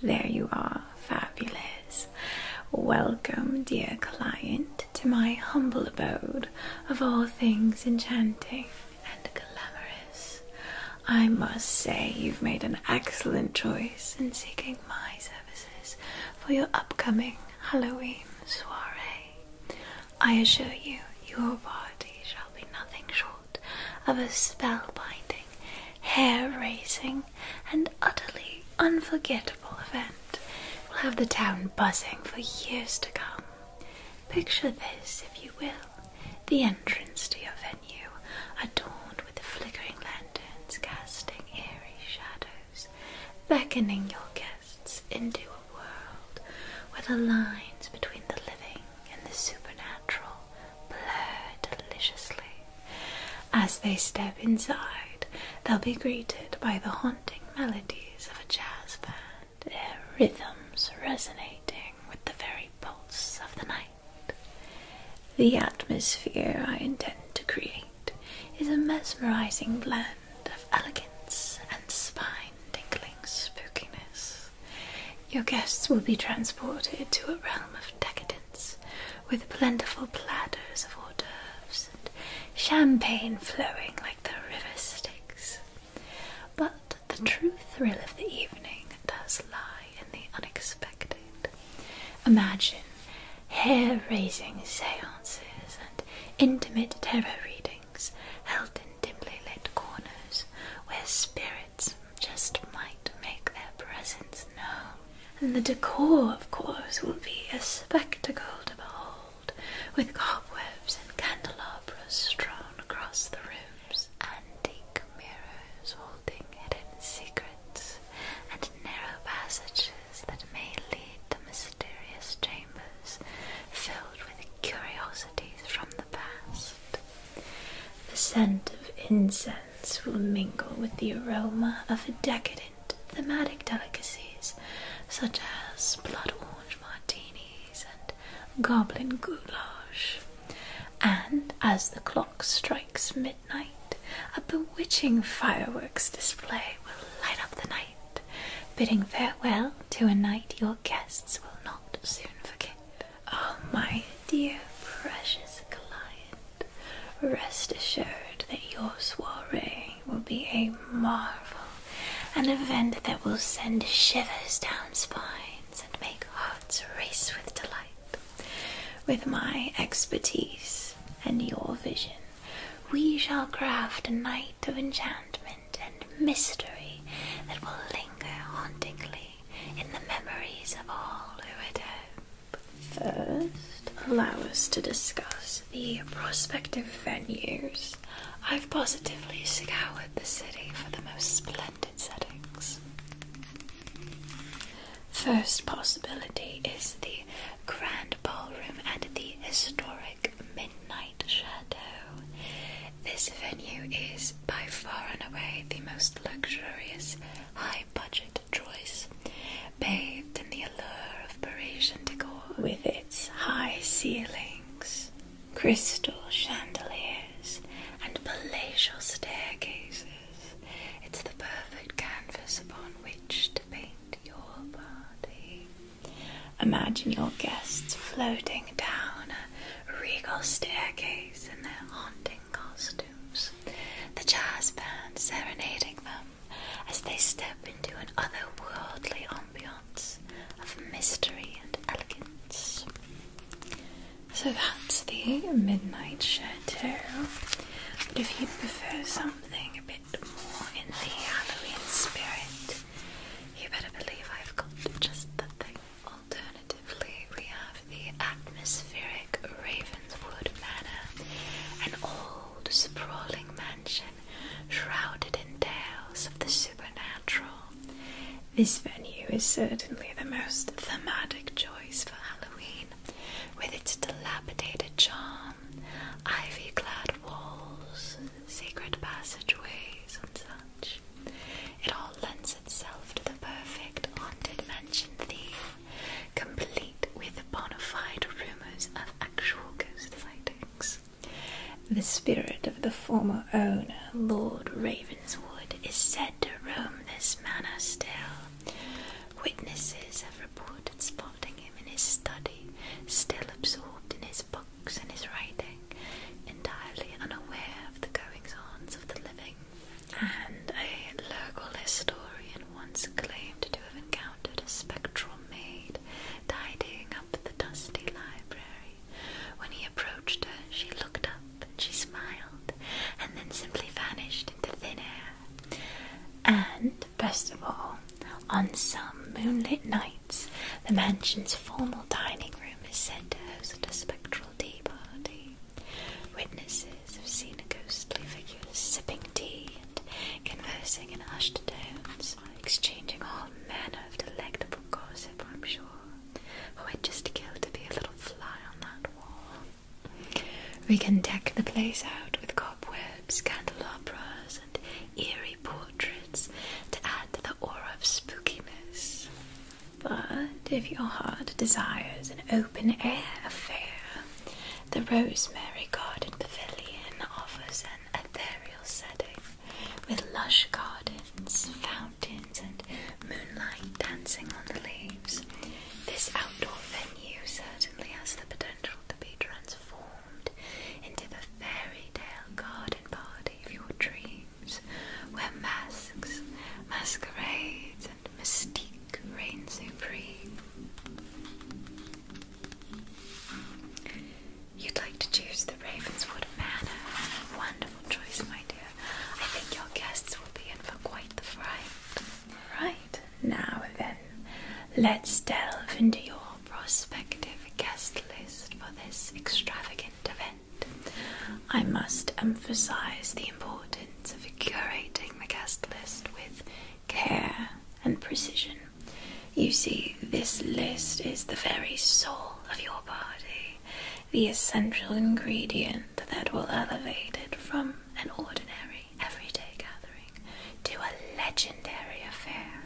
There you are, fabulous. Welcome, dear client, to my humble abode of all things enchanting and glamorous. I must say, you've made an excellent choice in seeking my services for your upcoming Halloween soiree. I assure you, your body shall be nothing short of a spellbinding, hair raising, and utterly unforgettable event will have the town buzzing for years to come. Picture this, if you will, the entrance to your venue, adorned with the flickering lanterns casting eerie shadows, beckoning your guests into a world where the lines between the living and the supernatural blur deliciously. As they step inside, they'll be greeted by the haunting melodies of a jazz band, their rhythms resonating with the very pulse of the night. The atmosphere I intend to create is a mesmerizing blend of elegance and spine tingling spookiness. Your guests will be transported to a realm of decadence with plentiful platters of hors d'oeuvres and champagne flowing like the river Styx. But the true thrill of the evening does lie in the unexpected. Imagine hair raising seances and intimate tarot readings held in dimly lit corners where spirits just might make their presence known. And the decor, of course, will be a spectacle to behold, with cobwebs and candelabras strewn across the rooms, antique mirrors holding hidden secrets, and narrow passages that may lead to mysterious chambers filled with curiosities from the past. The scent of incense will mingle with the aroma of decadent thematic delicacies such as blood orange martinis and goblin goulash. And as the clock strikes midnight, a bewitching fireworks display will light up the night, bidding farewell to a night your guests will not soon forget. Oh, my dear, precious client, rest assured that your soiree will be a marvel, an event that will send shivers down spines and make hearts race with delight. With my expertise and your vision, we shall craft a night of enchantment and mystery that will linger hauntingly in the memories of all who had hope. First, allow us to discuss the prospective venues. I've positively scoured the city for the most splendid settings. First possibility is the Grand Ballroom and the historic Midnight Shadow. This venue is by far and away the most luxurious, high budget choice, bathed in the allure of Parisian decor with its high ceilings, crystal chandeliers, and palatial staircases. It's the perfect canvas upon which to paint your party. Imagine your guests floating down regal staircase in their haunting costumes, the jazz band serenading them as they step into an otherworldly ambiance of mystery and elegance. So that's the Midnight Chateau, but if you prefer something a bit more in the Halloween spirit, you better believe I've got just the thing. Alternatively, we have the atmospheric Ravenswood Manor, an old, sprawling mansion shrouded in tales of the supernatural. This venue is certainly the most thematic choice for Halloween, with its dilapidated charm, ivy clad walls, secret passageways, and such. It all lends itself to the perfect haunted mansion theme, complete with bona fide rumors of actual ghost sightings. The spirit of the former owner, Lord Ravenswood, is said to roam this manor still. Witnesses have reported spotting him in his study, still absorbed in his books and his writing, entirely unaware of the goings on of the living and a local historian once claimed to have encountered a spectral maid tidying up the dusty library. When he approached her, she looked up, she smiled, and then simply vanished into thin air. And, best of all, on some moonlit nights, the mansion's formal dining room is said to host a spectral tea party. Witnesses have seen a ghostly figure sipping tea and conversing in hushed tones, exchanging all manner of delectable gossip, I'm sure. Oh, I'd just kill to be a little fly on that wall. We can deck the place out with cobwebs, candelabras, and eerie portraits to add to the aura of spookiness. But if your heart desires an open air affair, the Rosemary Garden Pavilion offers an ethereal setting with lush gardens, fountains, and moonlight dancing on the leaves. This outdoor venue certainly has the potential to be transformed into the fairy tale garden party of your dreams where masks, masquerades, and mystique reign supreme. You'd like to choose the Ravenswood Manor. Wonderful choice, my dear. I think your guests will be in for quite the fright. Right, now then, let's delve into your prospective guest list for this extravagant event. I must emphasize the importance of curating the guest list with care and precision. You see, this list is the very soul of your party, the essential ingredient that will elevate it from an ordinary, everyday gathering to a legendary affair.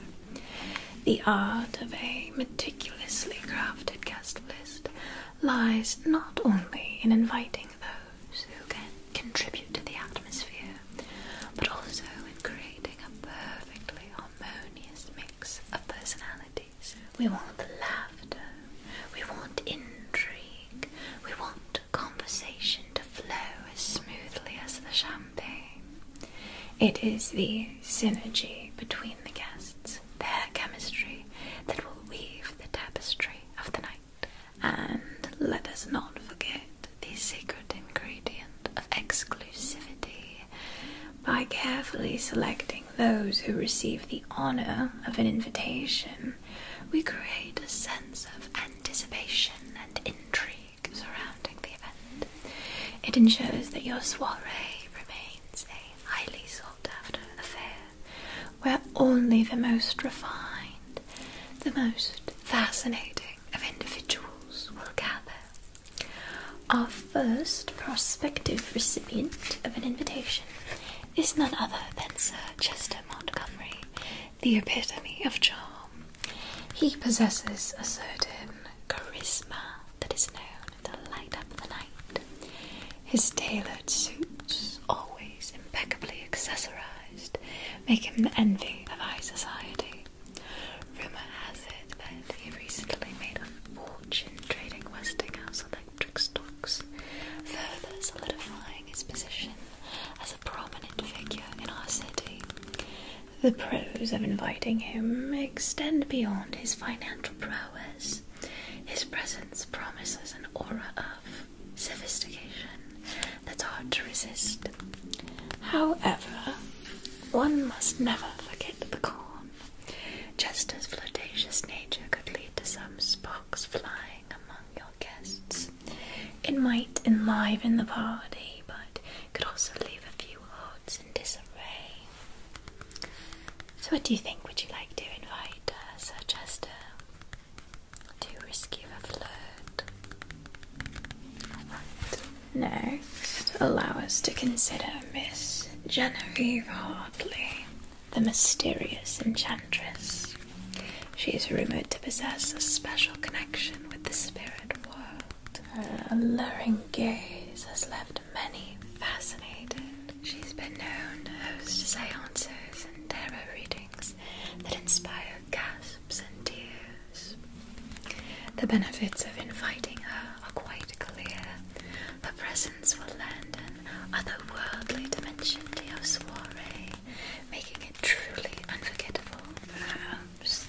The art of a meticulously crafted guest list lies not only in inviting those who can contribute to the atmosphere, but also in creating a perfectly harmonious mix of personalities. We want laughter, we want intrigue, we want conversation to flow as smoothly as the champagne. It is the synergy between the guests, their chemistry that will weave the tapestry of the night. And let us not forget the secret ingredient of exclusivity by carefully selecting those who receive the honor of an invitation. We create a sense of anticipation and intrigue surrounding the event. It ensures that your soiree remains a highly sought sought after affair, where only the most refined, the most fascinating of individuals will gather. Our first prospective recipient of an invitation is none other than Sir Chester Montgomery, the epitome of charm. He possesses a certain charisma that is known to light up the night. His tailored suits, always impeccably accessorized, make him the envy of high society. Rumour has it that he recently made a fortune trading Westinghouse electric stocks, further solidifying his position as a prominent figure in our city. The pros of inviting him extend beyond his financial prowess. His presence promises an aura of sophistication that's hard to resist. However, one must never forget the corn. Just as flirtatious nature could lead to some sparks flying among your guests, it might enliven the party, but could also leave a few hearts in disarray. So, what do you think? Would you like to invite uh, Sir Chester to rescue a flirt? Next, allow us to consider Miss Genevieve Hartley, the mysterious enchantress. She is rumoured to possess a special connection with the spirit world. Her alluring gaze has left many fascinated. She's been known to host seances and tarot readings that inspire gasps and tears. The benefits of inviting her are quite clear. Her presence will lend an otherworldly dimension to your soiree, making it truly unforgettable. Perhaps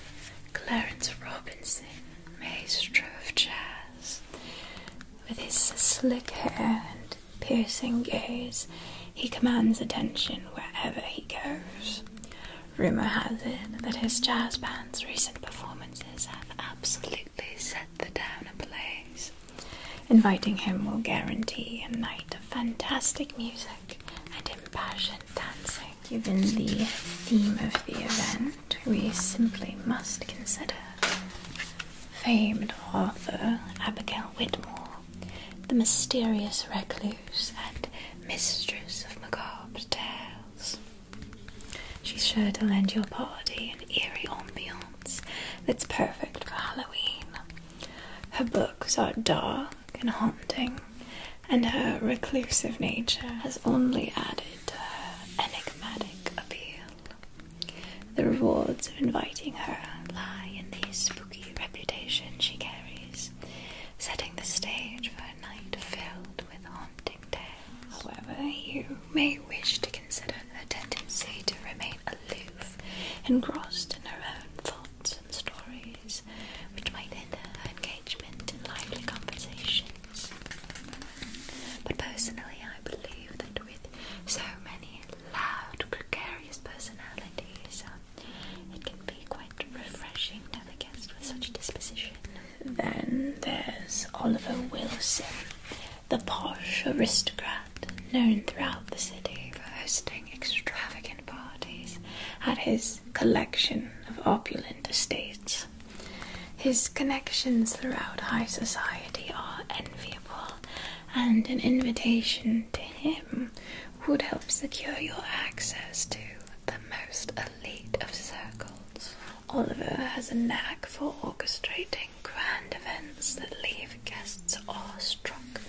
Clarence Robinson, maestro of jazz, with his slick hair and piercing gaze, he commands attention wherever he goes. Rumour has it that his jazz band's recent performances have absolutely set the town ablaze. Inviting him will guarantee a night of fantastic music and impassioned dancing. Given the theme of the event, we simply must consider famed author Abigail Whitmore, the mysterious recluse and mistress of macabre tales. She's sure to lend your party an eerie ambiance that's perfect for Halloween. Her books are dark and haunting, and her reclusive nature has only added to her enigmatic appeal. The rewards of inviting her lie in the spooky reputation she carries, setting the stage for a night filled with haunting tales. However, you may wish to consider her tendency to remain aloof, engrossed in her own thoughts and stories, which might hinder her engagement in lively conversations. But personally, I believe that with so many loud, precarious personalities. it can be quite refreshing to have guests with such a disposition. Then there's Oliver Wilson, the posh aristocrat known throughout the city for hosting extravagant parties at his collection of opulent estates. His connections throughout high society are enviable and an invitation to him would help secure your access to the most elite of circles. Oliver has a knack for orchestrating grand events that leave guests awestruck,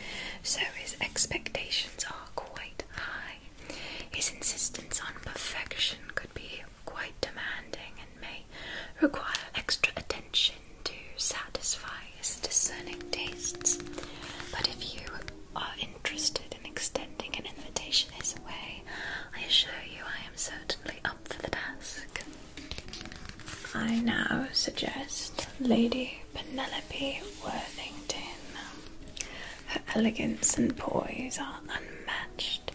so his expectations are quite high. His insistence on perfection could be quite demanding and may require extra attention to satisfy his discerning tastes. But if you are interested in extending an invitation his way, I assure you I am certainly up for the task. I now suggest Lady Penelope Worthington. Her elegance and poise are unmatched,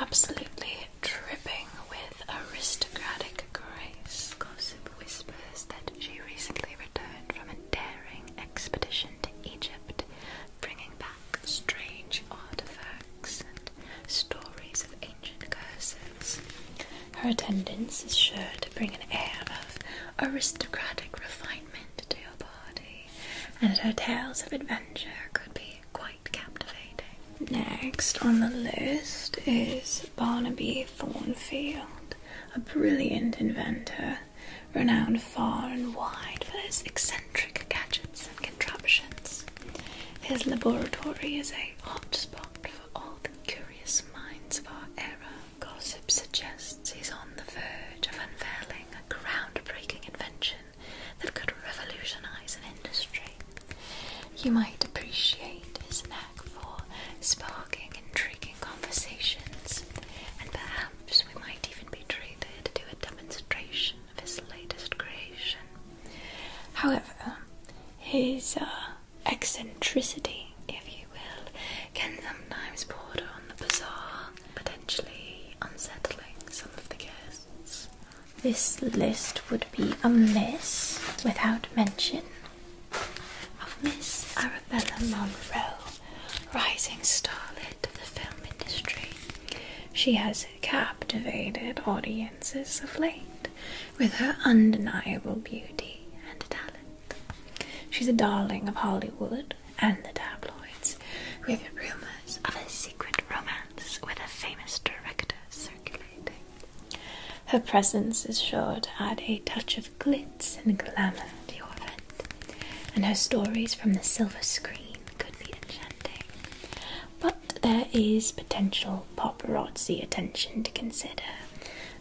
absolutely Tripping with aristocratic grace. Gossip whispers that she recently returned from a daring expedition to Egypt, bringing back strange artifacts and stories of ancient curses. Her attendance is sure to bring an air of aristocratic refinement to your party, and her tales of adventure could be quite captivating. Next on the list is Barnaby Thornfield, a brilliant inventor, renowned far and wide for his eccentric gadgets and contraptions. His laboratory is a hotspot for all the curious minds of our era. Gossip suggests he's on the verge of unveiling a groundbreaking invention that could revolutionize an industry. You might appreciate his knack for sparking intriguing conversations, and perhaps we might even be treated to a demonstration of his latest creation. However, his uh, eccentricity, if you will, can sometimes border on the bizarre, potentially unsettling some of the guests. This list would be a miss without mention of Miss Arabella Monroe, rising starlet of the film industry. She has captivated audiences of late with her undeniable beauty and talent. She's a darling of Hollywood and the tabloids, with rumors of a secret romance with a famous director circulating. Her presence is sure to add a touch of glitz and glamour to your event, and her stories from the silver screen could be enchanting. But there is potential paparazzi attention to consider.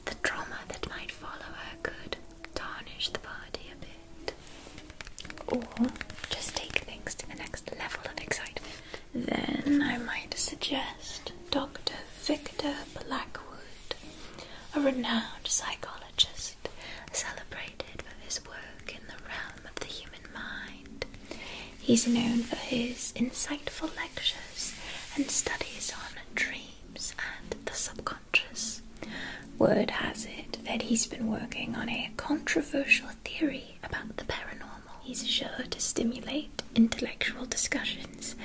The drama that might follow her could tarnish the party a bit. Or just take things to the next level of excitement. Then I might suggest Dr. Victor Blackwood, a renowned psychologist, celebrated for his work in the realm of the human mind. He's known for his insightful lectures and studies on dreams and the subconscious. Word has it that he's been working on a controversial theory about the paranormal. He's sure to stimulate intellectual discussions,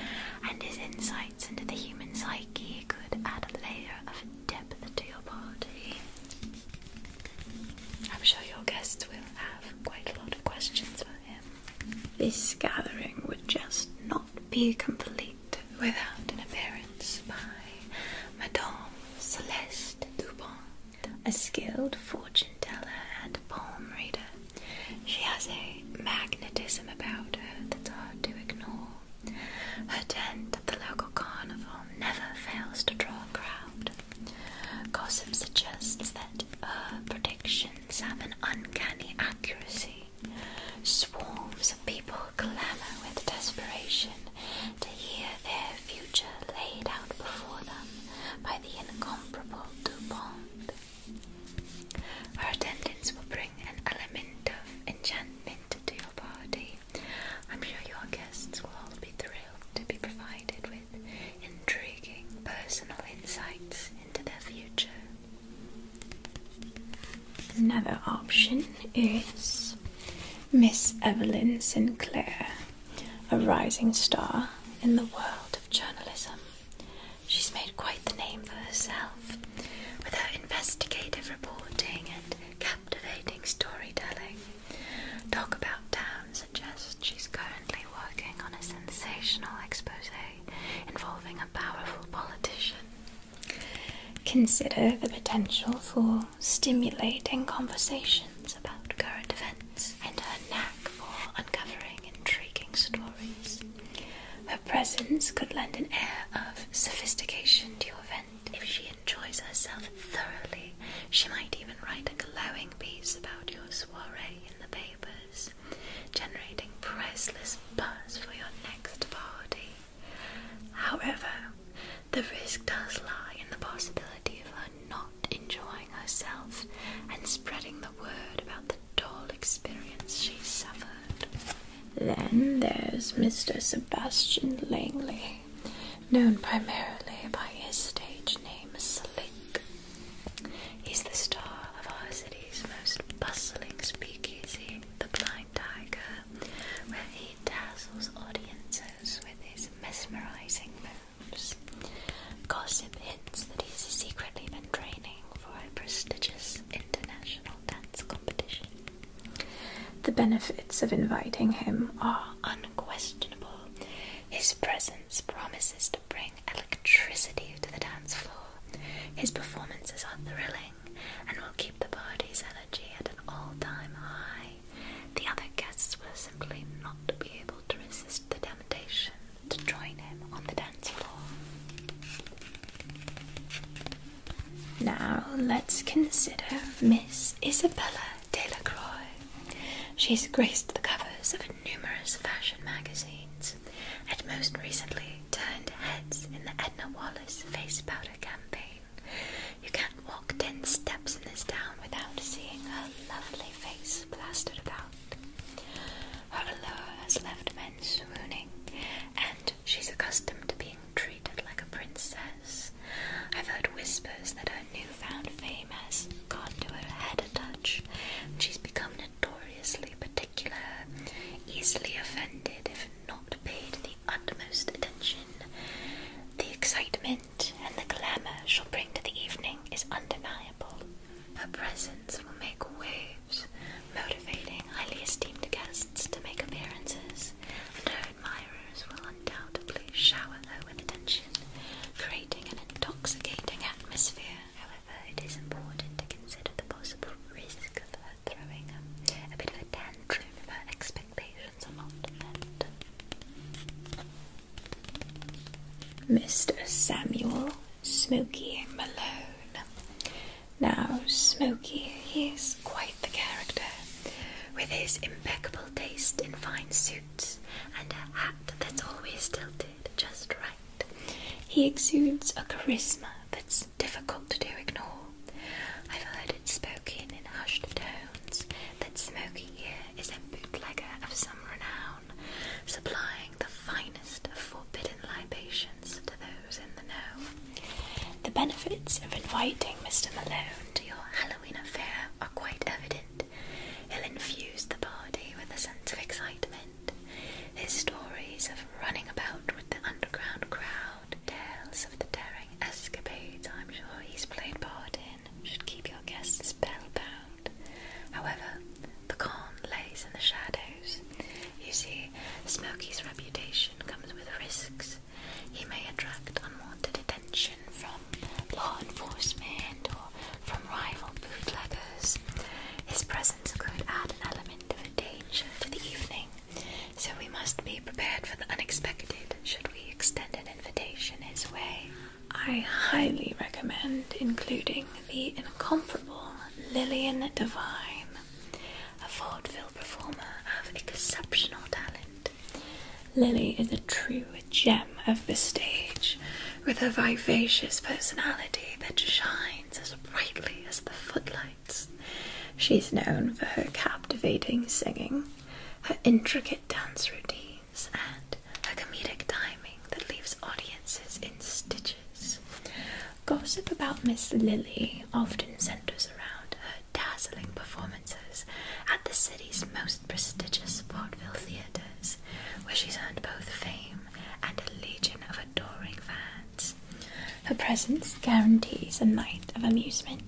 and his insights into the human psyche could add a layer of depth to your party. I'm sure your guests will have quite a lot of questions for him. This gathering would just not be complete without an appearance by Madame Celeste Dupont a skilled fortune teller and palm reader. She has a magnetism about her that's hard to ignore. Her tent at the local carnival never fails to draw a crowd. Gossip suggests that her predictions have an uncanny accuracy. Swarms of people clamour with desperation to hear their future laid out before them by the incomparable our attendants will bring an element of enchantment to your party. I'm sure your guests will all be thrilled to be provided with intriguing personal insights into their future. Another option is Miss Evelyn Sinclair a rising star in the world of journalism. She's made quite the name for herself with her investigative reporting and captivating storytelling. Talk About Town suggests she's currently working on a sensational expose involving a powerful politician. Consider the potential for stimulating conversations about current events and her knack for uncovering intriguing stories. Her presence could lend an air of sophistication to your event. If she enjoys herself thoroughly, she might even write a glowing piece about your soiree in the papers, generating priceless buzz for your next party. However, the risk does lie in the possibility of not enjoying herself and spreading the word about the dull experience she suffered. Then there's Mr. Sebastian Langley, known primarily by his stage name Slick. He's the star of our city's most bustling speakeasy, the Blind Tiger, where he dazzles audiences with his mesmerizing Gossip hints that he's secretly been training for a prestigious international dance competition. The benefits of inviting him are unquestionable. His presence promises to bring electricity to the dance floor. His performances are thrilling and will keep the party's energy at an all time high. The other guests will simply not be able to resist the temptation to join him on the dance floor. Now let's consider Miss Isabella Delacroix. She's graced the covers of numerous fashion magazines and most recently turned heads in the Edna Wallace face powder campaign. You can't walk ten steps in this town without seeing her lovely face plastered about her allure has left men swooning, and she's accustomed to being treated like a princess. I've heard whispers that her newfound fame has gone to her head a touch, she's become notoriously particular, easily offended if not paid the utmost attention. The excitement and the glamour she'll bring to the evening is undeniable. Her presence will make waves, motivating highly esteemed guests to make appearances, and her admirers will undoubtedly shower her with attention, creating an intoxicating atmosphere. However, it is important to consider the possible risk of her throwing a, a bit of a tantrum if her expectations are not met. Mr. Samuel Smoky Malone. Now, Smoky, is quite the character, with his impeccable taste in fine suits and a hat that's always tilted just right. He exudes a charisma that's difficult to ignore. I've heard it spoken in hushed tones that Smoky here is a bootlegger of some renown supplying the finest forbidden libations to those in the know. The benefits of inviting Mr. Malone to your Halloween affair are quite evident. He'll infuse the party with a sense of excitement. His stories of running about with the underground crowd, tales of the daring escapades I'm sure he's played part in, should keep your guests spellbound. However, the con lays in the shadows. You see, Smokey's reputation comes with risks. He may attract unwanted attention from law enforcement or from rival bootleggers. His presence could add an element of danger to the evening, so we must be prepared for the unexpected should we extend an invitation his way. I highly recommend including the incomparable Lillian Devine, a vaudeville performer of exceptional talent. Lily is a true gem of the stage, with a vivacious personality that shines as brightly as the footlights. She's known for her captivating singing, her intricate dance routine, and her comedic timing that leaves audiences in stitches. Gossip about Miss Lily often centers around her dazzling performances at the city's most prestigious vaudeville theaters, where she's earned both fame and a legion of adoring fans. Her presence guarantees a night of amusement.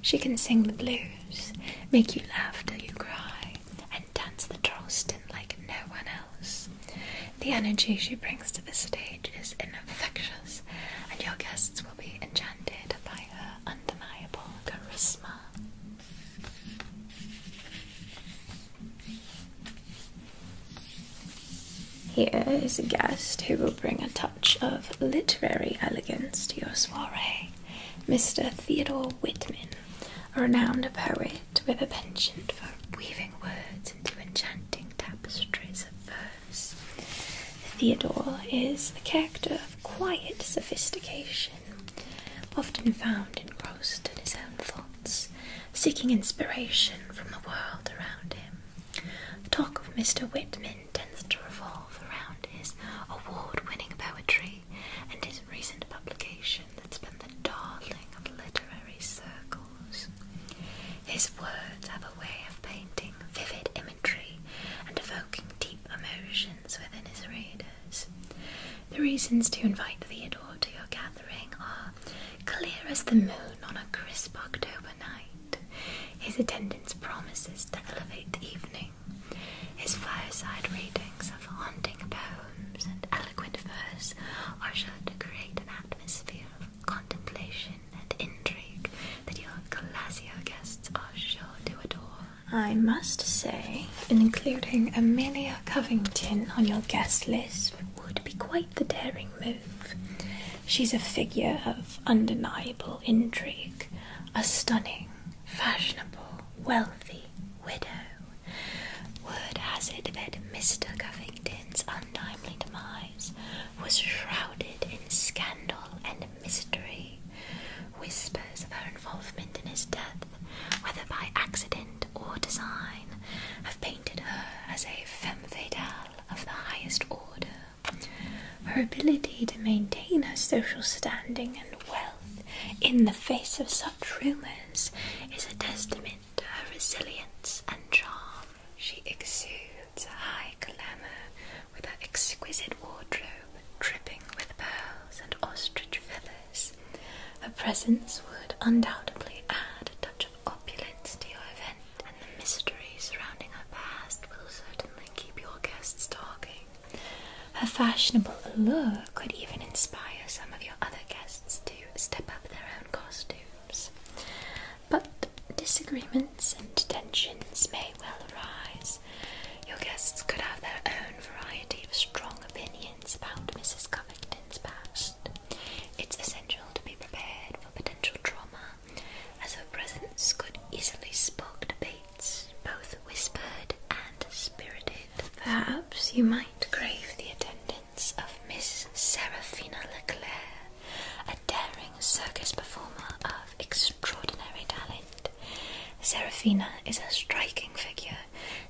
She can sing the blues, make you laugh till you cry, and dance the Charleston like no one else. The energy she brings to the stage is infectious, and your guests will be enchanted by her undeniable charisma. Here is a guest who will bring a touch of literary elegance to your soiree. Mr. Theodore Whitman a renowned poet with a penchant for weaving words into enchanting tapestries of verse. Theodore is the character of quiet sophistication, often found engrossed in his own thoughts, seeking inspiration from the world around him. The talk of Mr. Whitman tends to revolve around his award winning poetry and his recent publication that's been the darling of literary circles. His words have a way of painting vivid imagery and evoking deep emotions within his readers. The reasons to invite Theodore to your gathering are clear as the moon on a crisp October night. His attendance promises to elevate the evening. His fireside readings of haunting poems and eloquent verse are sure to create an atmosphere of contemplation and intrigue that your Galassio guests are sure to adore. I must say, including Amelia Covington on your guest list would be quite the daring move. She's a figure of undeniable intrigue, a stunning, fashionable, wealthy, widow. Word has it that Mr. Cuffington's untimely demise was shrouded in scandal and mystery. Whispers of her involvement in his death, whether by accident or design, have painted her as a femme fatale of the highest order. Her ability to maintain her social standing and wealth in the face of such such rumors is a testament to her resilience and charm. She exudes high glamour with her exquisite wardrobe dripping with pearls and ostrich feathers. Her presence would undoubtedly add a touch of opulence to your event, and the mystery surrounding her past will certainly keep your guests talking. Her fashionable allure could even inspire some of your other guests to step up their own costumes. But disagreements and tensions may well arise. Your guests could have their own variety of strong opinions about Mrs. Covington's past. It's essential to be prepared for potential trauma, as her presence could easily spark debates, both whispered and spirited. Perhaps you might crave the attendance of Miss Seraphina Leclaire, a daring circus performer of extraordinary talent. Seraphina is a striking figure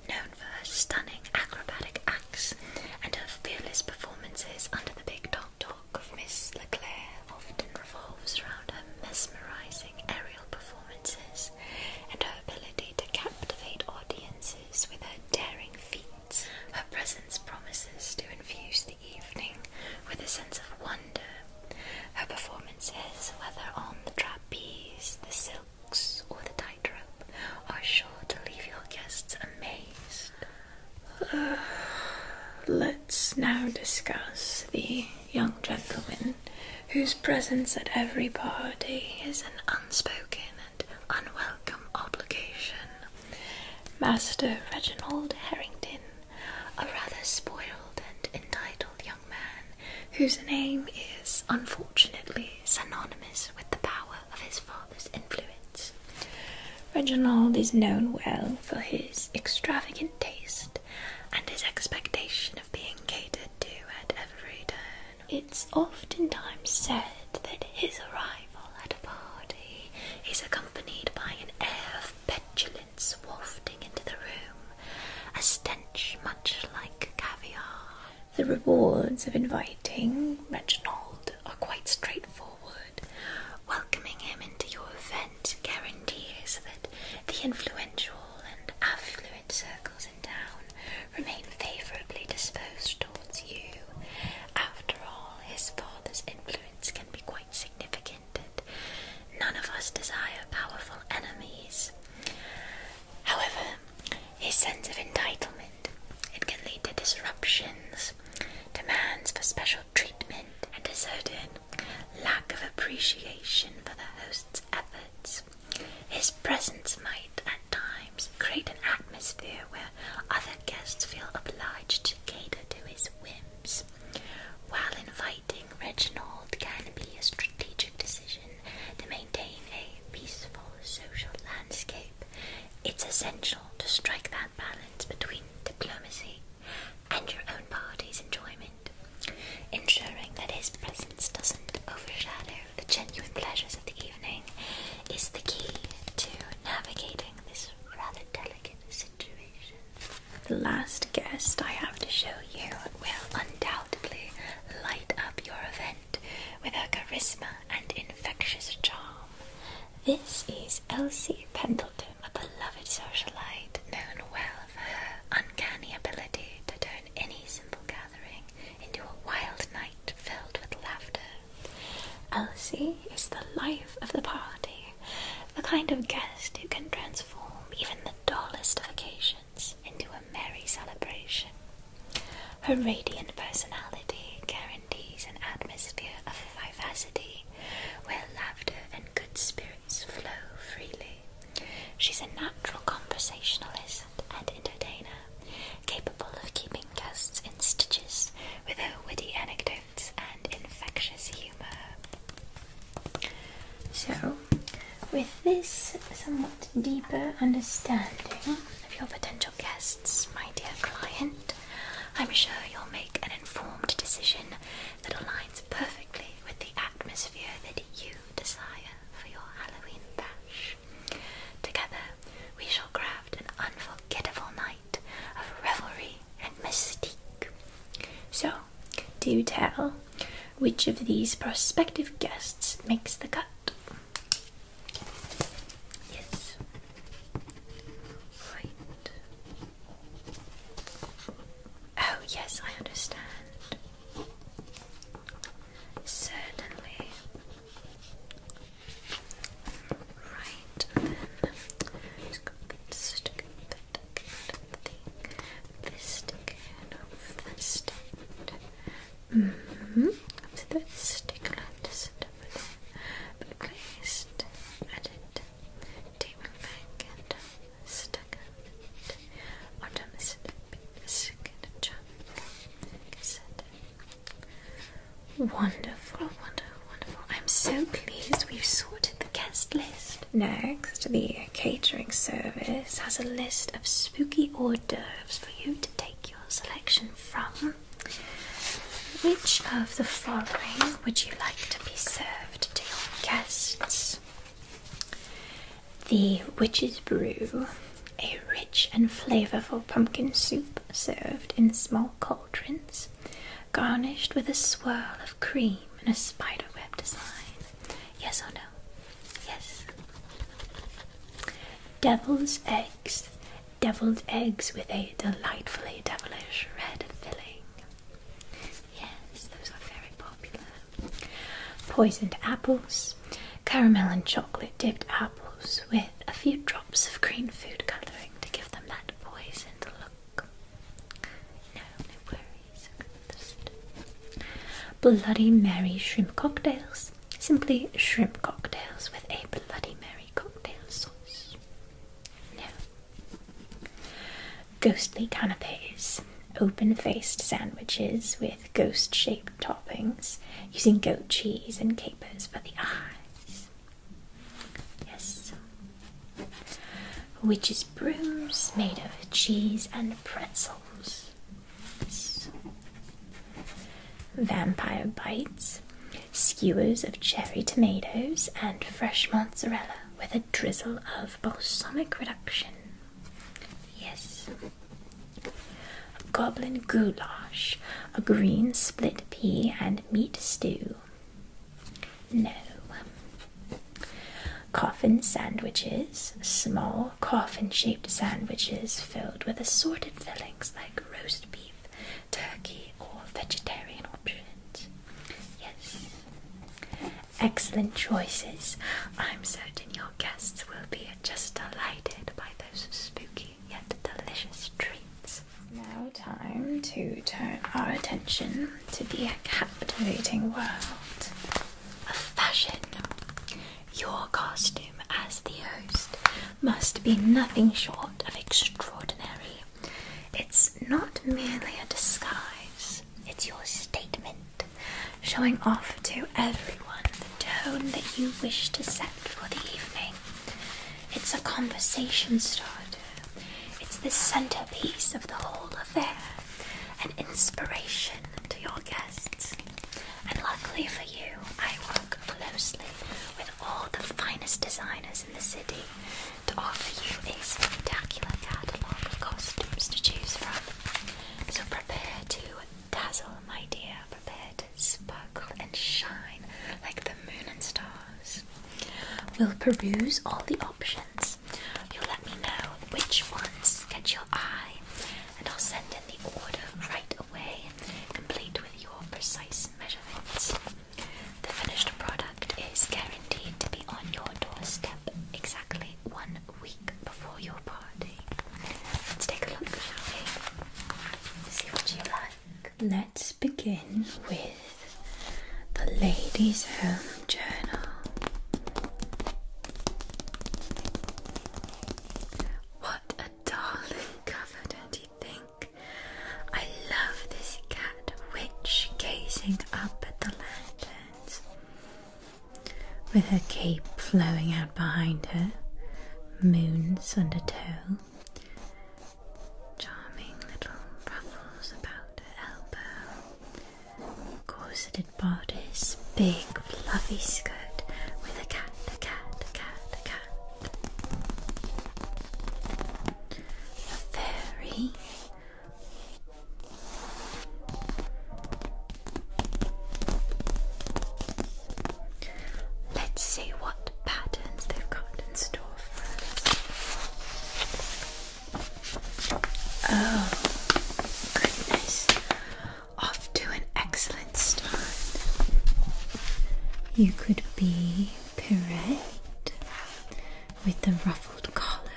known for her stunning acrobatic acts and her fearless performances under the big top. Talk of Miss Leclaire often revolves around her mesmerizing aerial performances and her ability to captivate audiences with her daring feats. Her presence promises to infuse the evening with a sense of wonder. Her performances, whether on the trapeze, the silks, or the tightrope, are sure to leave your guests amazed. let's now discuss the young gentleman whose presence at every party is an unspoken and unwelcome obligation. Master Reginald Harrington, a rather spoiled and entitled young man, whose name is unfortunately synonymous with the power of his father's influence. Reginald is known well for his extravagant taste and his expectation of being catered to at every turn. It's oftentimes said that his arrival at a party is accompanied by an air of petulance wafting into the room, a stench much like caviar. The rewards of inviting Reginald are quite straightforward. Welcoming him into your event guarantees that the influential and affluent circles and down remain favourably disposed towards you. After all, his father's influence can be quite significant, and none of us desire powerful enemies. However, his sense of entitlement it can lead to disruptions, demands for special treatment, and a certain lack of appreciation for the host's efforts. His presence might, at times, create an atmosphere where other guests feel obliged to cater to his whims. While inviting Reginald can be a strategic decision to maintain a peaceful social landscape, it's essential to strike that balance between diplomacy and your own party's enjoyment, ensuring that his presence doesn't overshadow the genuine pleasures of the evening is the key to navigating this rather delicate situation. The last guest I have to show you will undoubtedly light up your event with her charisma and infectious charm. This is Elsie Pendleton, a beloved socialite known well for her uncanny ability to turn any simple gathering into a wild night filled with laughter. Elsie is the life of the party, the kind of guest who can transform even the dullest of occasions into a merry celebration. Her radiant personality guarantees an atmosphere of vivacity where laughter and good spirits flow freely. She's a natural conversationalist and entertainer, capable of keeping guests in stitches with her witty anecdotes and infectious humor. So, with this somewhat deeper understanding of your potential guests, my dear client, I'm sure you'll make an informed decision that aligns perfectly with the atmosphere that you desire for your Halloween bash. Together, we shall craft an unforgettable night of revelry and mystique. So, do tell, which of these prospective guests makes the cut? Yes. Right. Oh, yes, I understand. Certainly. Right, then just go stick the this stick and off the stick. Mm hmm So that stick letters over there. But placed edit table back and stuck it on the stick. Wonderful, wonderful, wonderful. I'm so pleased we've sorted the guest list. Next, the catering service has a list of spooky hors d'oeuvres for you to take your selection from. Which of the following would you like to be served to your guests? the Witch's Brew, a rich and flavorful pumpkin soup served in small cauldrons, garnished with a swirl of cream and a spiderweb design. Yes or no? Yes. Devil's eggs, deviled eggs with a delightfully devilish red filling. Yes, those are very popular poisoned apples, caramel and chocolate dipped apples with a few drops of green food colouring to give them that poisoned look. No, worries. Bloody Mary shrimp cocktails. Simply shrimp cocktails with a Bloody Mary cocktail sauce. No. Ghostly canapes. Open faced sandwiches with ghost shaped toppings using goat cheese and capers for the eyes. Yes. Witches' brooms made of cheese and pretzels. Vampire bites, skewers of cherry tomatoes, and fresh mozzarella with a drizzle of balsamic reduction. Yes goblin goulash, a green split pea and meat stew. No. Coffin sandwiches, small coffin shaped sandwiches filled with assorted fillings like roast beef, turkey, or vegetarian options. Yes. Excellent choices. I'm certain your guests will be just delighted by those spooky yet delicious treats. Now, time to turn our attention to the captivating world of fashion. Your costume as the host must be nothing short of extraordinary. It's not merely a disguise, it's your statement showing off to everyone the tone that you wish to set for the evening. It's a conversation starter, it's the centerpiece of the whole affair, an inspiration to your guests. And luckily for you, I work closely with all the finest designers in the city to offer you a spectacular catalogue of costumes to choose from. So prepare to Dazzle, my dear, prepare to sparkle and shine like the moon and stars. We'll peruse all the options. You'll let me know which ones catch your eye, and I'll send in the order right away, complete with your precise measurements. The finished product is guaranteed to be on your doorstep exactly one week before your party. Let's take a look, See what you like. Let's begin with the Ladies' Home Journal. What a darling cover, don't you think? I love this cat witch gazing up at the lanterns with her cape flowing out behind her, moons under undertow, charming little ruffles about her elbow, corseted bodice, big fluffy skirt with a cat, a cat, a cat, a cat. A fairy Let's see what patterns they've got in store Oh, goodness. Off to an excellent start. You could be parade with the ruffled collar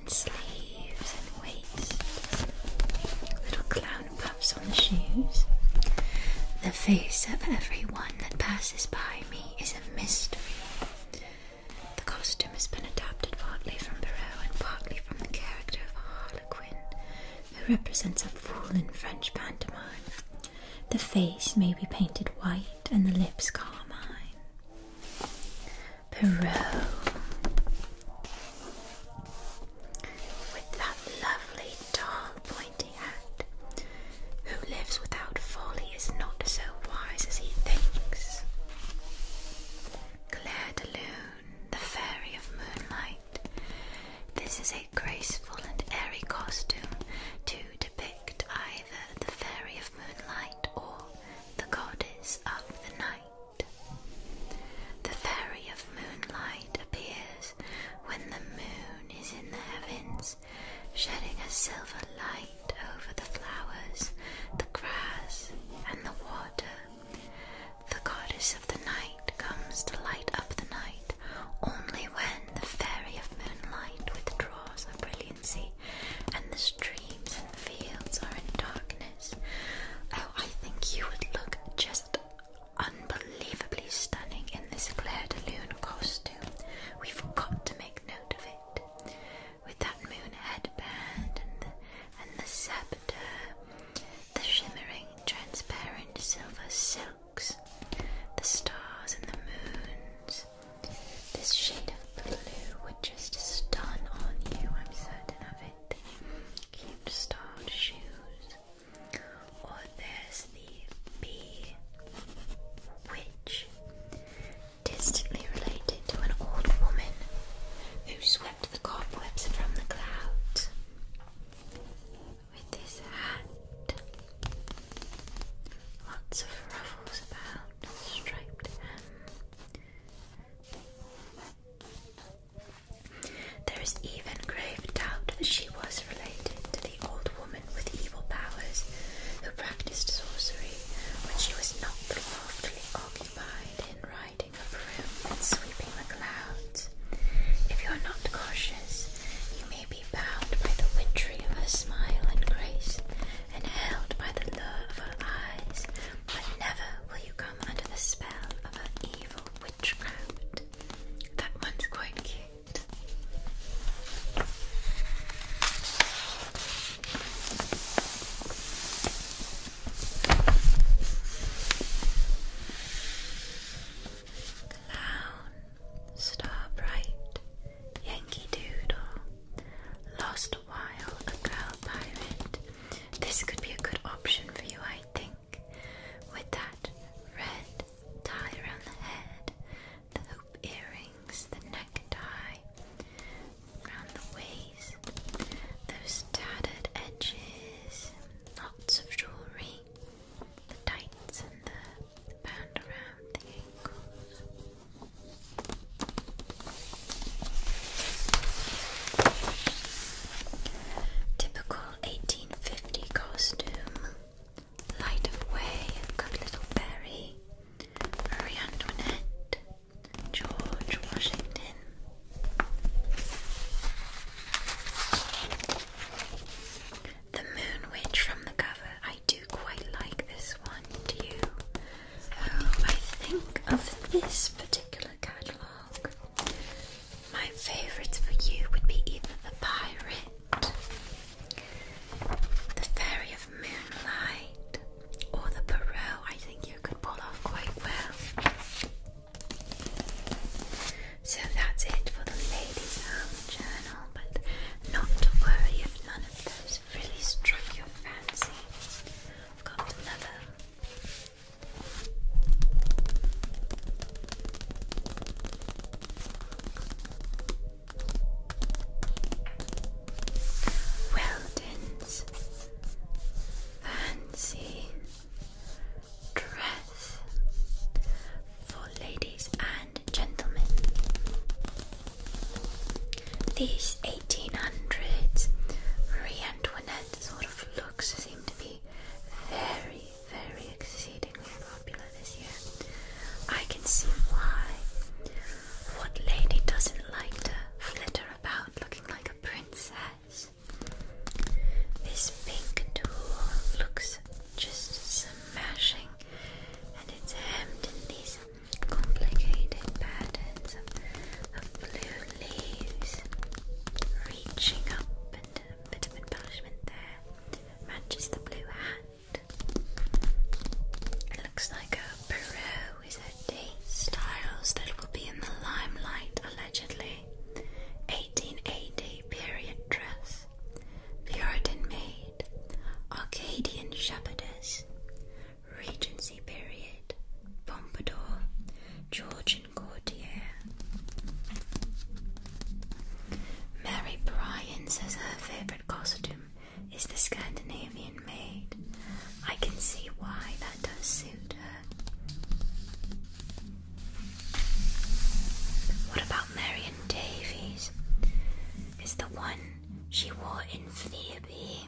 and sleeves and waist. Little clown puffs on the shoes. The face of everyone that passes by me is a mystery. The costume has been adapted partly from Perrault and partly from the character of Harlequin, who represents a fool in French pantomime. The face may be painted white and the lips carmine. Perrault with that lovely tall pointy hat. Who lives without folly is not so wise as he thinks. Claire de Lune, the fairy of moonlight. This is a graceful and airy costume to depict either the fairy of moonlight or the goddess of the night. The fairy of moonlight appears when the moon is in the heavens, shedding a silver light over the flowers, the grass, and the water. The goddess of the night comes to light up the night only when the fairy of moonlight withdraws her brilliancy and the streams and fields are in darkness. Oh, I think you would look just unbelievably stunning in this Claire de Lune costume. we forgot to make note of it. With that moon headband and the, and the scepter, the shimmering, transparent silver silks, the stars and the moons. This shade of blue would just stun on you, I'm certain of it it. Cute shoes. Or there's the bee witch, distantly related to an old woman who swept the cobwebs from the clouds with this hat. Lots of ruffles about, striped there is even grave doubt that she was related to the old woman with evil powers who practiced sorcery when she was not loftily occupied in riding a broom and sweeping the clouds. If you are not cautious, you may be bound by the witchery of her smile and grace, and held by the lure of her eyes, but never will you come under the spell of her evil witchcraft. That one's quite cute. Clown, star bright, Yankee Doodle, lost a while, a girl pirate. This could be a good option for you, I think with that red tie around the head, the hoop earrings, the necktie around the waist, those tattered edges, lots of jewelry, the tights and the band around the ankles. Typical 1850 costume. Light of Way, Good Little Berry, Marie George Washington. The Moon Witch from the cover. I do quite like this one, do you? Oh, I think of this particular catalogue my favourites for you would be either the pirate, the fairy of moonlight, or the Perrault. I think you could pull off quite well. So that's it for the ladies' home journal, but not to worry if none of those really struck your fancy. I've got another Weldon's fancy dress for ladies and gentlemen. These 1800s Marie Antoinette sort of looks seem to be very, very exceedingly popular this year. I can see why. What lady doesn't like to flitter about looking like a princess? This pink tulle looks just smashing, and it's hemmed in these complicated patterns of blue reaching up and a bit of embellishment there, matches the blue hand. It looks like a Peru Styles that will be in the limelight allegedly. 1880 period dress, Puritan made, Arcadian shepherdess, Regency period, Pompadour, George Mary Bryan says her favourite costume is the Scandinavian maid. I can see why that does suit her. What about Marion Davies? Is the one she wore in Phoebe?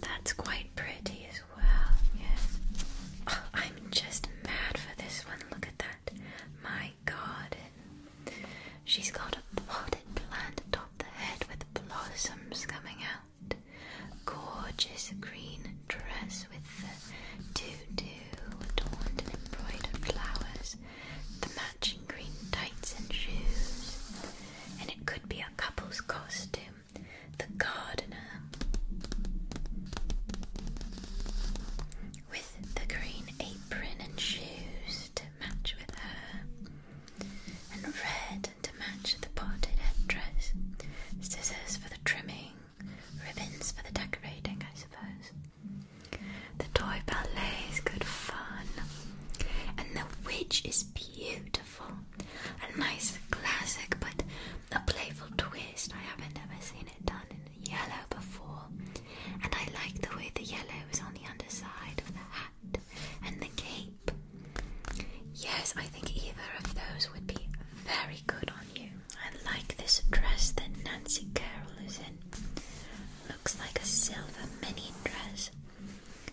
That's quite pretty as well well. Yes. Oh, I'm just mad for this one. Look at that. My garden. She's got a potted plant atop the head with blossoms coming out. Gorgeous green dress with the tutu adorned and embroidered flowers. The matching green tights and shoes. And it could be a couple's costume the gardener with the green apron and shoes to match with her, and red to match the parted headdress, scissors for the trimming, ribbons for the decorating, I suppose. The toy ballet is good fun, and the witch is beautiful. A nice classic, but a playful twist. I haven't ever seen it done in yellow before. And I like the way the yellow is on the underside of the hat and the cape. Yes, I think either of those would be very good on you. I like this dress that Nancy Carroll is in. Looks like a silver mini dress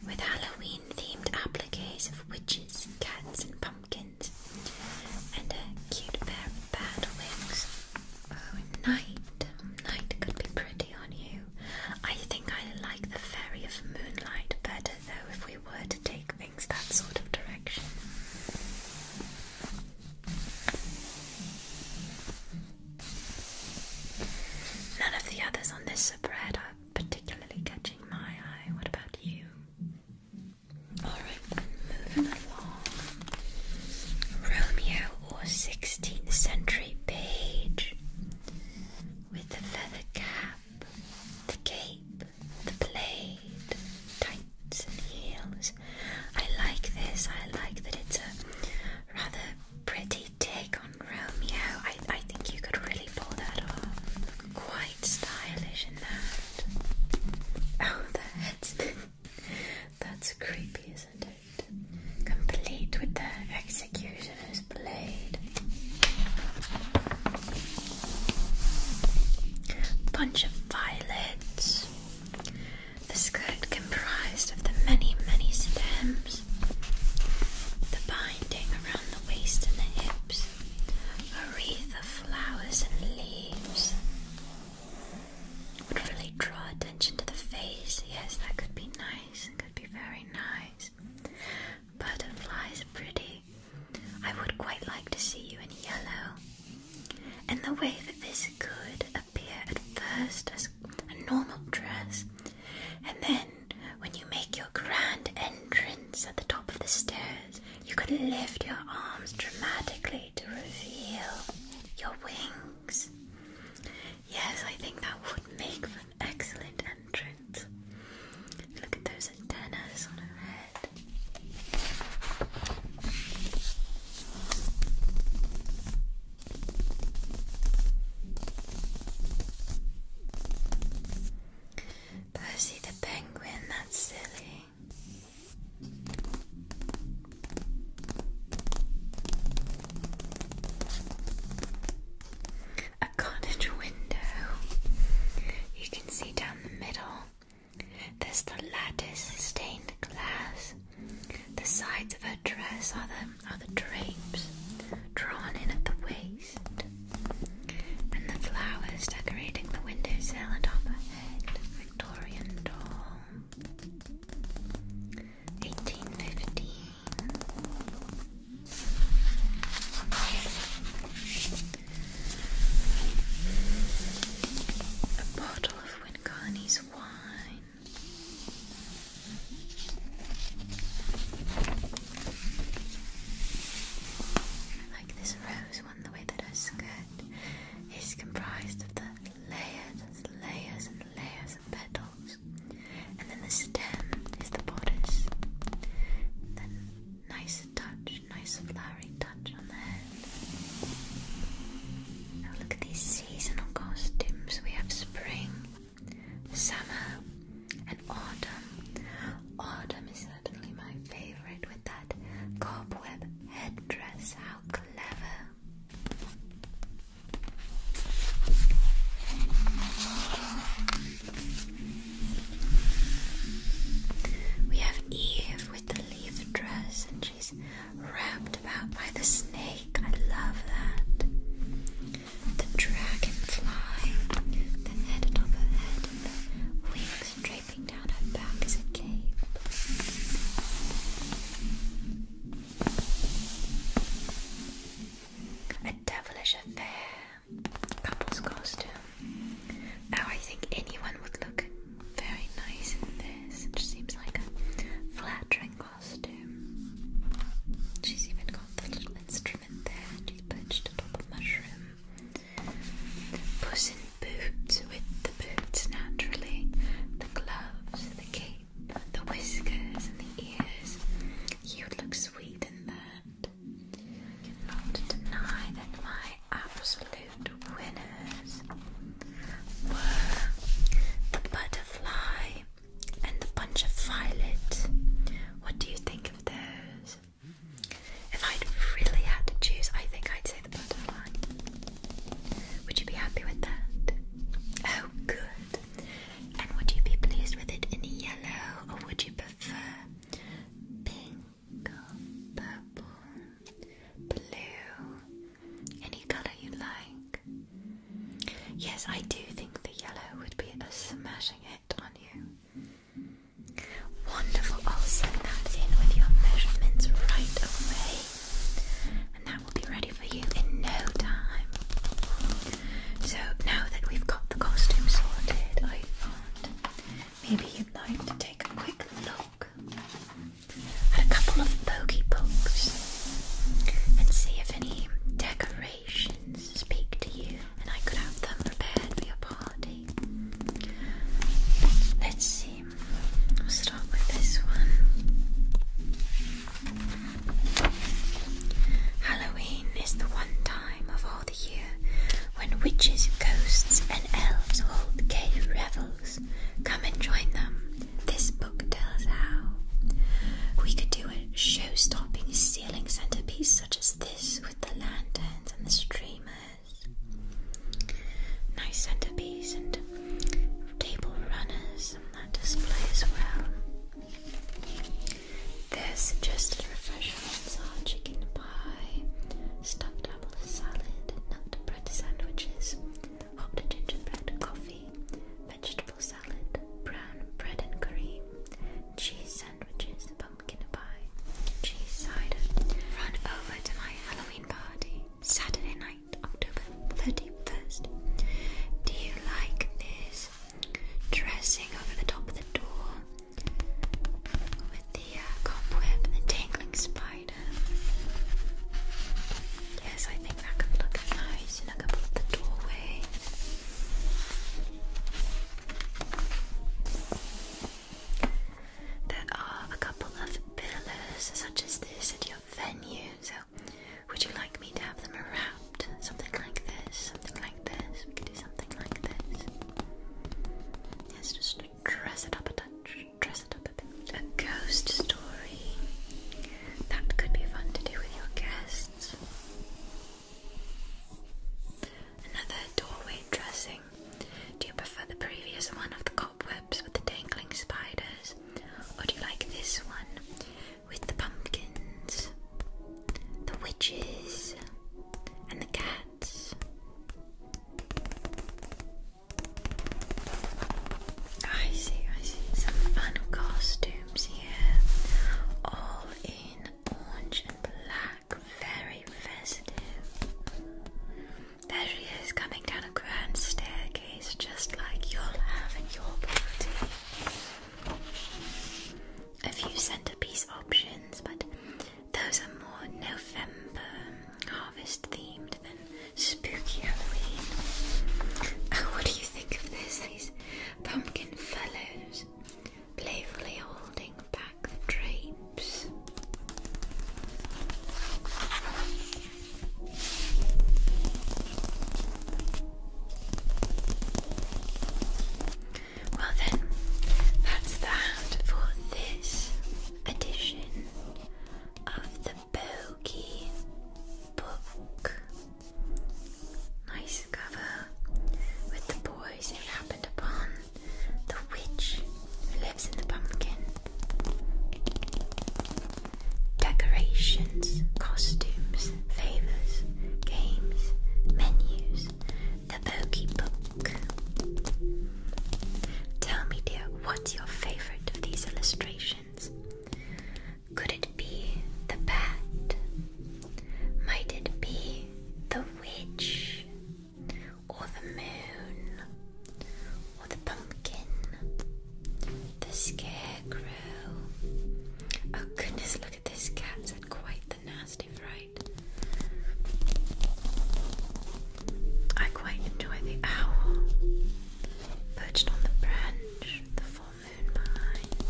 with Halloween themed appliques of witches, cats, and pumpkins. And a cute pair of bad wings. Oh, night. Night could be pretty on you. I think I like the fairy of moonlight better though if we were to take things that sort of direction. None of the others on this spread are particularly catching my eye. What about you? Alright, moving along. Romeo or 16th century page with the feather cap, the cape, the blade, tights and heels. I like this. I like that it's a rather pretty take on Romeo. I, I think you could really pull that off quite stylish in that. Oh, the head's That's creepy, isn't it? Complete with the executioner's blade. Bunch of violets. The skirt comprised of the many, many stems. The binding around the waist and the hips. A wreath of flowers and leaves would really draw attention to the face. Yes, that could be nice. It could be very nice. Butterflies are pretty. I would quite like to see you in yellow. And the way that this could appear at first as a normal dress, and then when you make your grand entrance at the top of the stairs, you could lift your arms dramatically to reveal your wings. Yes, I think that would make for an excellent entrance. Look at those antennas on her head. Pussy the penguin, that's silly. A cottage window. You can see down the middle. There's the lattice stained glass. The sides of her dress are the are the drapes drawn in at the waist and the flowers decorating the windowsill and overhead Victorian door. 1815. A bottle of Wynn wine like this rose one, the way that her skirt is comprised of the layers and layers and layers of petals. And then the stem is the bodice. then nice touch, nice flowery touch on the head. Now look at these seasonal costumes. We have spring, summer, autumn. Autumn is certainly my favorite with that cobweb head dress, How clever! We have Eve with the leaf dress, and she's wrapped about by the snake. I love that. The dragonfly, the head atop her head, wings and draping down her back as a cape. A devilish affair, couple's costume. Now I think anyone would look very nice in this. It just seems like a flattering costume. She's even got the little instrument there. She's perched atop a mushroom. Puss in Boots with the boots naturally, the gloves, the cape, the whiskers, and the ears. You would look sweet in that. I cannot deny that my absolute winners were the butterfly and the bunch of violet. What do you think of those? If I'd really had to choose, I think I'd say the butterfly. Would you be happy with that? Oh, good. And would you be pleased with it in yellow, or would you prefer pink purple, blue, any color you like? Yes, I do think the yellow would be a smashing hit on you. Wonderful. I'll send that in with your measurements right away. And that will be ready for you in no time. So now that we've got the costume sorted, I thought maybe you'd like to take a quick look at a couple of pokey pokes and see if any decorations speak to you and I could have them prepared for your party. Let's see. start with this one. Halloween is the one time of all the year when witches, ghosts, and elves hold gay revels. Come and join them. This book tells how. We could do a show stopping ceiling centerpiece such as this with the lanterns and the streamers nice centerpiece and table runners on that display as well. There's suggested refreshments are chicken pie, stuffed apple salad, nut bread sandwiches, hot gingerbread coffee, vegetable salad, brown bread and cream, cheese sandwiches, I'm gonna buy cheese cider. Run over to my Halloween party Saturday night, October 31st. Do you like this dressing over the top of the door with the uh, cobweb the tangling spider? Yes, I think that could look nice in a couple of the doorway. There are a couple of pillars such as this at your venue, so would you like me to have them wrapped? Something like this, something like this. We could do something like this. Yes, just dress it up a touch, dress it up a bit. A ghost story. That could be fun to do with your guests. Another doorway dressing do you prefer the previous one of the cobwebs with the dangling spiders? Or do you like this one with the pumpkins, the witches, and the cats? I see, I see. Some fun costumes here, all in orange and black. Very festive. There she is coming down a grand staircase just like you'll have in your party. A few centerpiece options, but those are more November harvest themed than spooky Halloween. what do you think of this? These pumpkin fellows playfully holding back the drapes. Well, then, that's that for this edition of the Bogey Book. Nice cover with the boy poison happened upon the witch who lives in the pumpkin. Decorations, costumes, favors, games, menus, the bogey book. Tell me, dear, what's your favorite of these illustrations? Could it be the bat? Might it be the witch? or the moon, or the pumpkin, the scarecrow. Oh goodness, look at this cat. Said quite the nasty fright. I quite enjoy the owl perched on the branch, the full moon behind.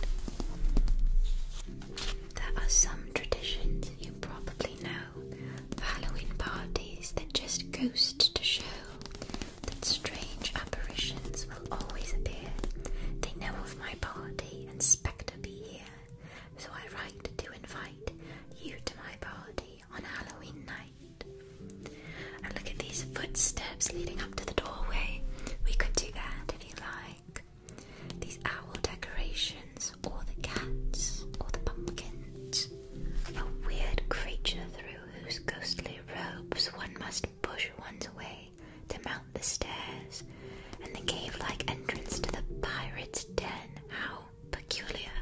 There are some traditions you probably know Halloween parties that just ghost to show that strange apparitions will always appear. They know of my party and spectre be here, so I write to invite you to my party on Halloween night. And look at these footsteps leading up to the doorway. We could do that if you like. These owl decorations, or the cats, or the pumpkins. A weird creature through whose ghostly robes one must push one's way to mount the stairs, and the cave like entrance to the pirate's den. How peculiar.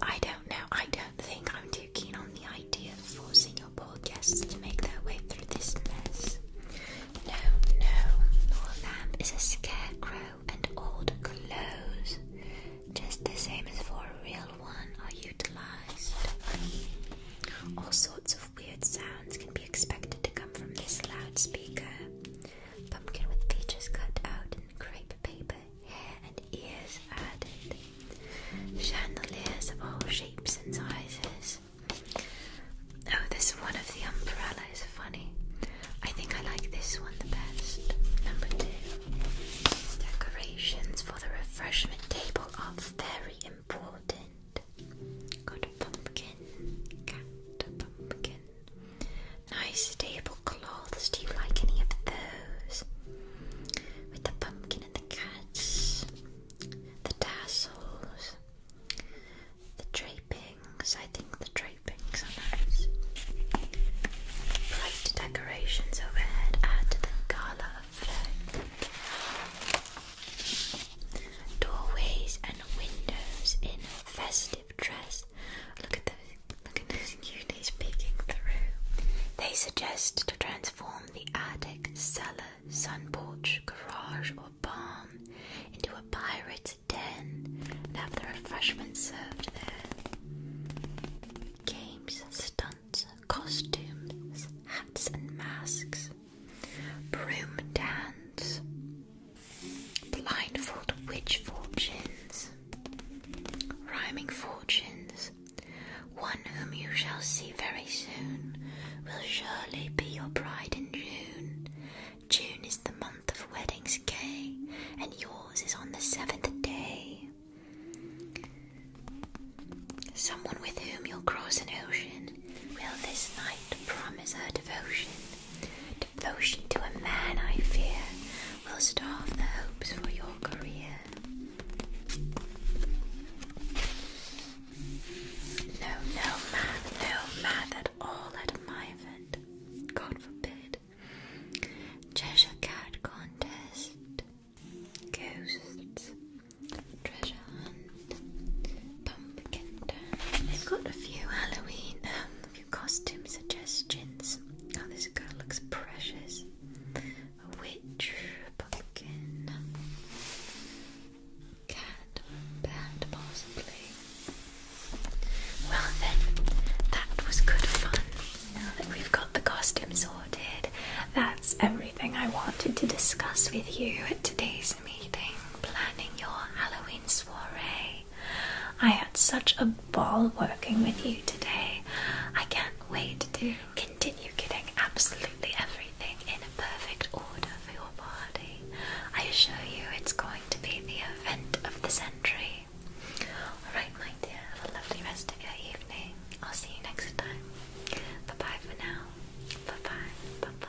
I don't know, I don't think I'm too keen on the idea of forcing your poor guests to make their way through this mess. No, no, your lamp is a scarecrow and old clothes, just the same as for a real one, are utilized. All sorts of weird sounds can be expected to come from this loudspeaker. Pumpkin with features cut out in crepe paper, hair and ears added. Chandeliers of all shapes and sizes. Oh, this one of the umbrella is funny. I think I like this one the best. Number two. Decorations for the refreshment table are very important. Got a pumpkin, got a pumpkin. Nice tablecloths. Do you like any of those? With the pumpkin and the cats, the tassels. The drapings, I think the drapings are nice. Bright decorations overhead add to the gala effect. Doorways and windows in festive dress. Look at those, look at those cuties peeking through. They suggest to transform the attic, cellar, sun porch, garage, or barn into a pirate's sit and have the refreshments served there. Games, stunts, costumes, hats and masks, broom dance, Blindfolded witch fortunes, rhyming fortunes. One whom you shall see very soon will surely be your bride in June, June is the month of weddings, Kay, and yours is on the seventh day. Someone with whom you'll cross an ocean will this night promise her devotion. Devotion to a man, I fear, will starve the hopes for your career. No, no math, no math at all at my event. God forbid. Treasure cat contest. Ghosts. Treasure hunt. Pumpkin I've got a few Halloween um, costume suggestions. Oh, this girl looks precious. A witch, pumpkin cat bad possibly. Well then, that was good fun. Now that we've got the costume sorted, that's everything I wanted to discuss with you at today's meeting, planning your Halloween soiree. I had such a ball working with you today. I can't wait to continue getting absolutely everything in a perfect order for your party. I assure you it's going to be the event of the century. Alright, my dear, have a lovely rest of your evening. I'll see you next time. bye for now. Bye bye. Bye bye.